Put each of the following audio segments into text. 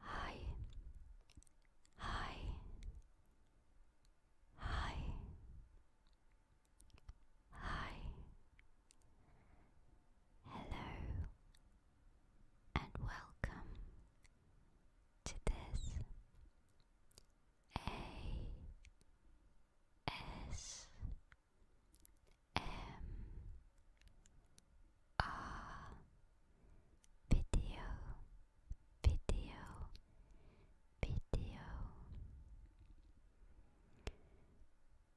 Hi. Hi. Hi. Hi. Hello and welcome to this A S M R video video video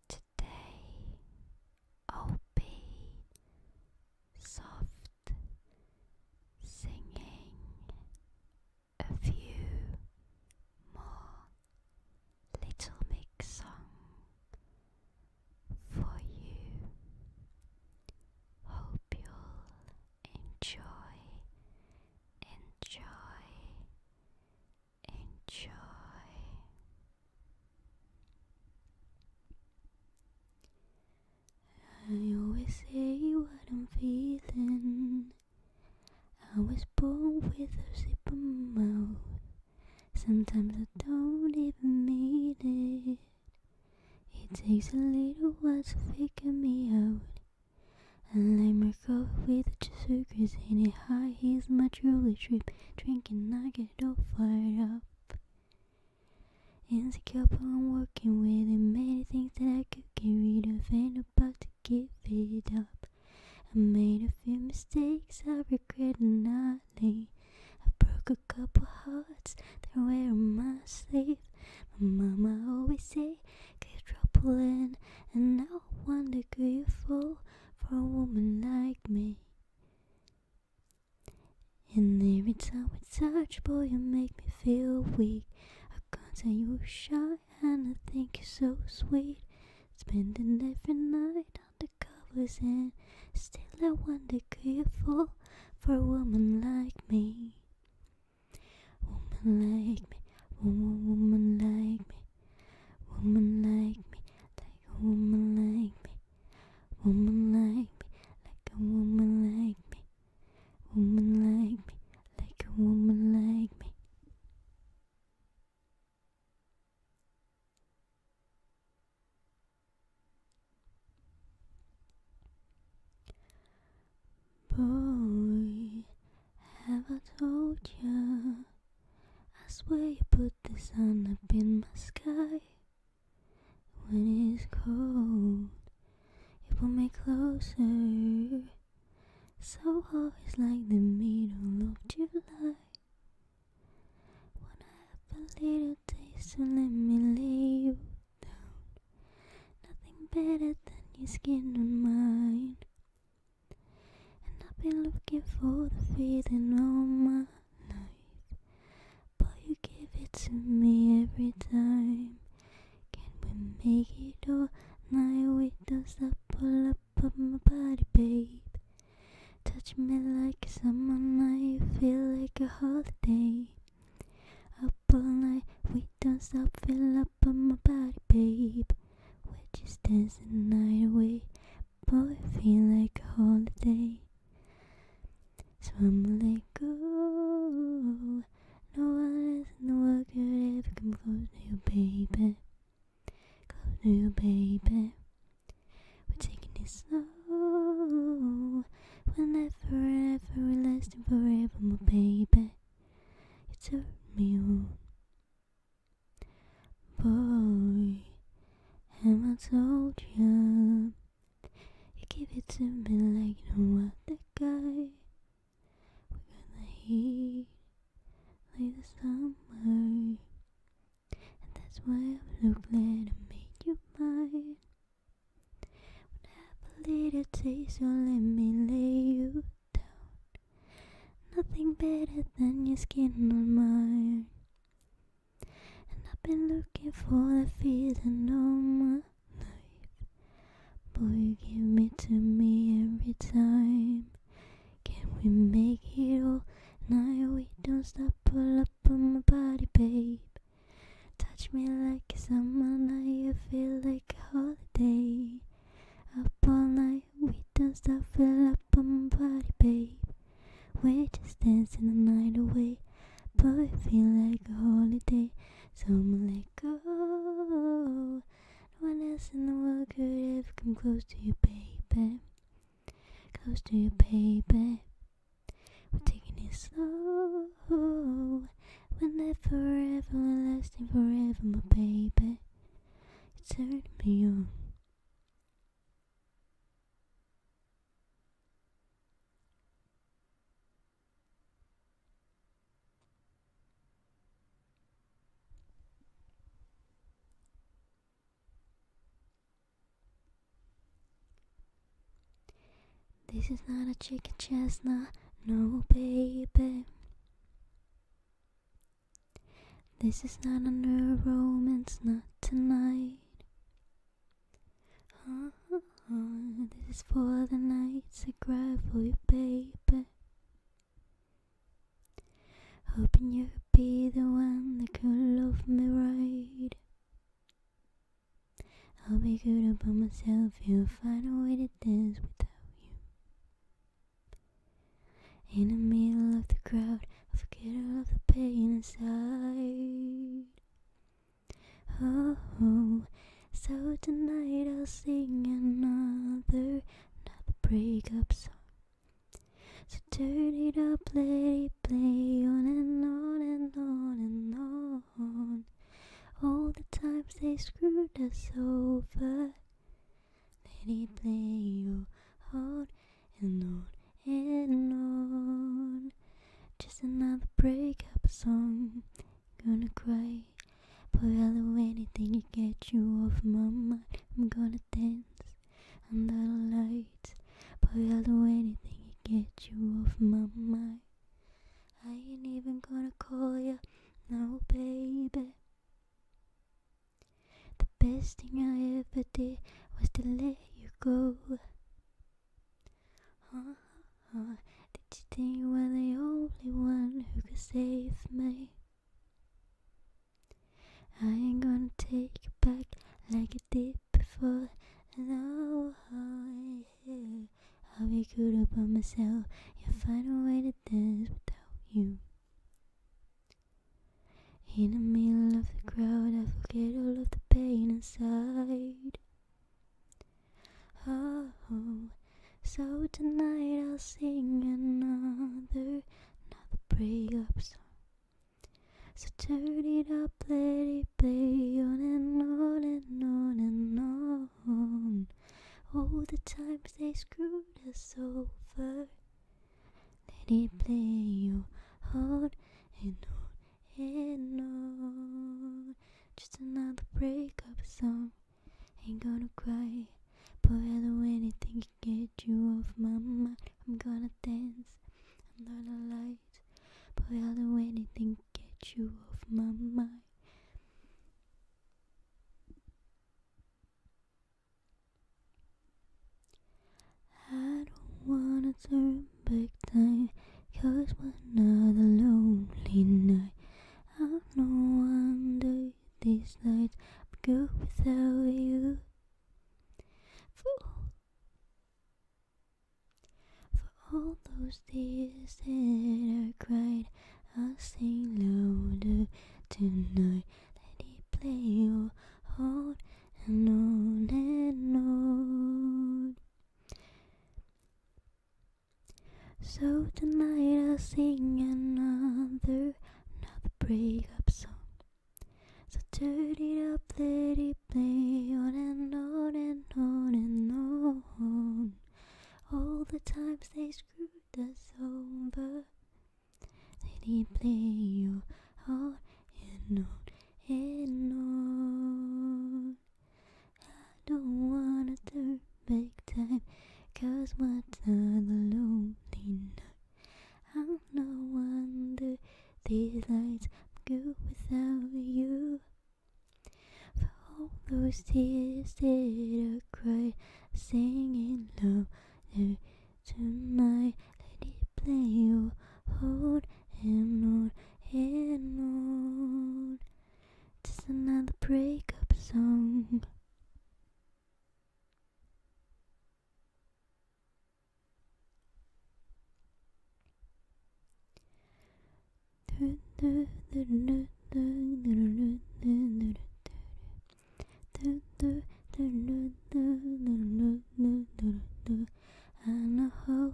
Today I'll be soft singing a few more Little Mix songs for you. Hope you'll enjoy, enjoy, enjoy. I always say what I'm feeling. I was born with a zipper mouth. Sometimes I don't even mean it. It takes a little while to figure me out. I like my coffee with sucrose in it. High heels, my truly trip. Drinking, I get all fired up. a but I'm working with it. Many things that I could get rid of about to give it up. I made a few mistakes I regret nightly. I broke a couple hearts they're in my sleeve. My mama always say, get trouble in, and now wonder day you fall for a woman like me. And every time we touch, boy, you make me feel weak. I can't say you are shy, and I think you're so sweet. Spending every night on the covers, and still I wonder could you for a woman like me? Woman like me, woman, woman like me, woman like me, like a woman like me, woman like me, like a woman like me, woman like me, like a woman like me. Boy, have I told you? I swear you put the sun up in my sky. When it's cold, it pull me closer. So it's like the middle of July. Wanna have a little taste and let me lay you down. Nothing better than your skin on mine. And I've been looking for the feeling all my life. But you give it to me every time. Can we make it all night with those that pull up on my body, babe? Touch me like a summer night, feel like a holiday. Up all night, we don't stop, fill up on my body, babe. we just dancing the night away, boy, feel like a holiday. So Swim like go, no one else in the world could ever come close to your baby. Close to your baby. We're taking it slow. We'll never, ever, we lasting forever, my baby. You turn me on. Boy, am I told you? You give it to me like you know that guy. We got the heat like the summer, and that's why I'm so glad I made you mine. When I have a little taste, so let me lay you down. Nothing better than your skin on mine. And I've been looking for the feeling no more. Boy, you give it to me every time. Can we make it all night? We don't stop, pull up on my body, babe. Touch me like a summer night, I feel like a holiday. Up all night, we don't stop, fill up on my body, babe. We're just dancing the night away, Boy, we feel like a holiday. So i go. No one else in the world could have come close to you, baby. Close to you, baby. We're taking it slow. We'll live forever and lasting forever, my baby. You turn me this is not a chicken chestnut, no baby. This is not a romance, not tonight. Huh? Oh, this is for the nights I cry for you, baby. Hoping you'd be the one that could love me right. I'll be good about myself if I find a way to dance without you. In the middle of the crowd, I forget all the pain inside. Oh, oh, so tonight I'll sing another, another breakup song. So turn it up, let it play on and on and on and on. All the times they screwed us over, let it play on and on and on. Just another breakup song gonna cry. but I'll do anything to get you off my mind. I'm gonna dance under I'll do anything to get you off my mind. I ain't even gonna call you no, baby. The best thing I ever did was to let you go did you think you were the only one who could save me? I ain't gonna take it back like I did before. No, oh, yeah. I'll be good about myself. You'll find a way to dance without you. In the middle of the crowd, I forget all of the pain inside. Oh, so tonight I'll sing another, another breakup song. So turn it up, let it play on and on and on and on. All the times they screwed us over, let it play you on and on Hey, no, just another breakup song. Ain't gonna cry, but anything can get you off my mind. I'm gonna dance under the light, but anything can get you off my mind. I don't wanna turn back time Cause one another lonely night I have no under these lights But go without you For all For all those tears that I cried I'll sing louder tonight Let it play your heart and on and on so tonight I'll sing another, another breakup song. So turn it up, let it play on and on and on and on. All the times they screwed us over, let it play on and on and on. I don't wanna turn back time, cause what a lonely I'm no wonder these lights go without you. For all those tears that I cried, singing louder tonight, let it play. you on and on and on. Just another breakup song. I know how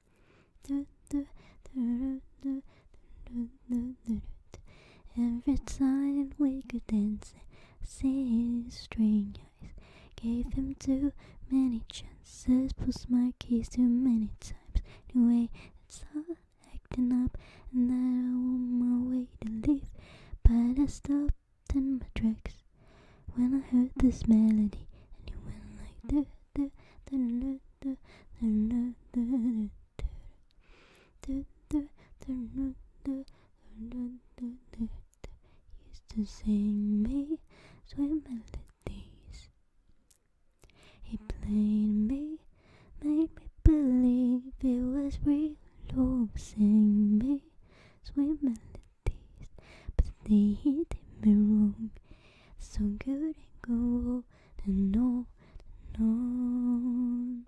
Every time we could dance, see strange eyes. Gave him too many chances, pushed my keys too many times. Anyway, way it's all acting up, and I on my way to leave. But I stopped in my tracks when I heard this melody, and you went like this. Used to sing me sweet melodies. He played me, made me believe it was real. Oh, sing me sweet melodies but they did me wrong. So good and go and know, and on.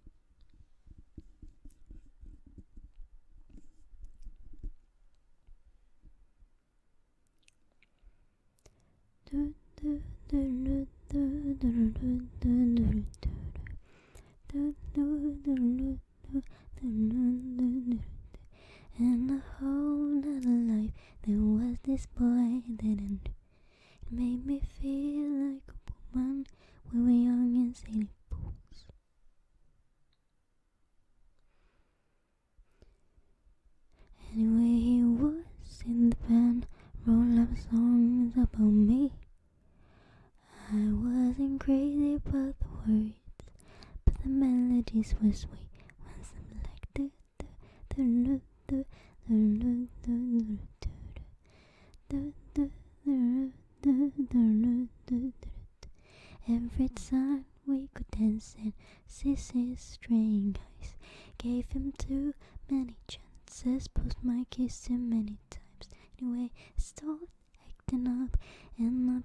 And the whole other life there was this boy that made me feel like a woman we were young and silly fools. Anyway, he was in the band, wrote up songs about me. I wasn't crazy about the way but the melodies were sweet. When some like the the the the the the the the the Every time we could dance and Sissy's strange eyes Gave him too many chances Pushed my kiss him many times Anyway, start acting up And not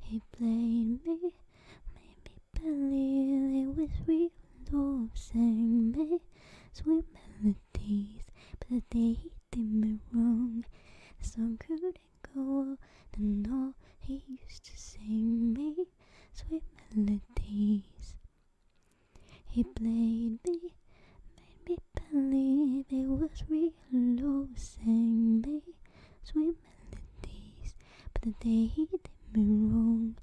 He played me, made me believe it was real love. me sweet melodies, but they did me wrong. The song couldn't go on and all. He used to sing me sweet melodies. He played me, made me believe it was real love. me sweet but the day they hit me wrong.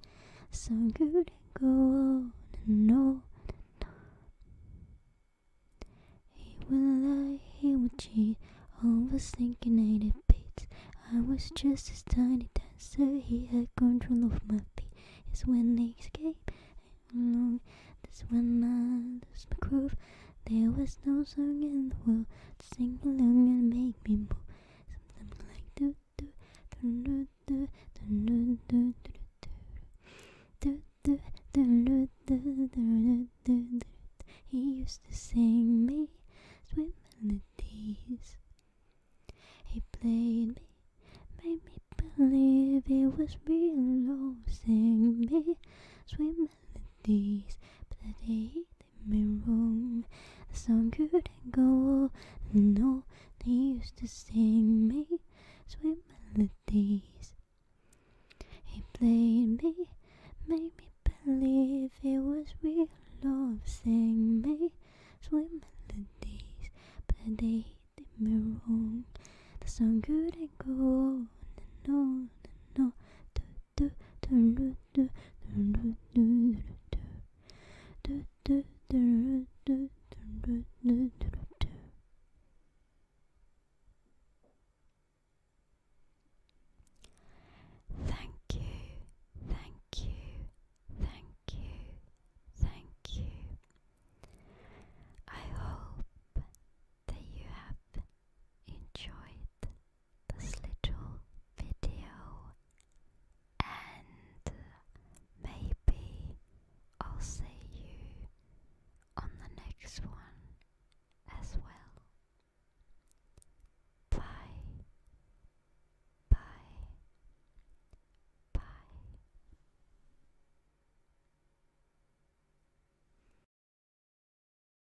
So good it going go on and on and on. He will lie, he will cheat, always thinking I did beats. I was just a tiny tiny, so he had control of my feet. It's when they escape, and long, that's when I lost my groove. There was no song in the world Sing along and make me move. Something like do do do do do do do do do do do He used to sing me sweet melodies. He played me, made me believe it was real. Oh, sing me sweet melodies, but he in my room. The song couldn't go on. No, they used to sing me sweet melodies. He played me, made me believe it was real love. Sang me sweet melodies, but they did me wrong. The song couldn't go on. No, no, no, Thank you, thank you, thank you, thank you. I hope that you have enjoyed this little video and maybe I'll see you on the next one as well. Bye. Bye. Bye.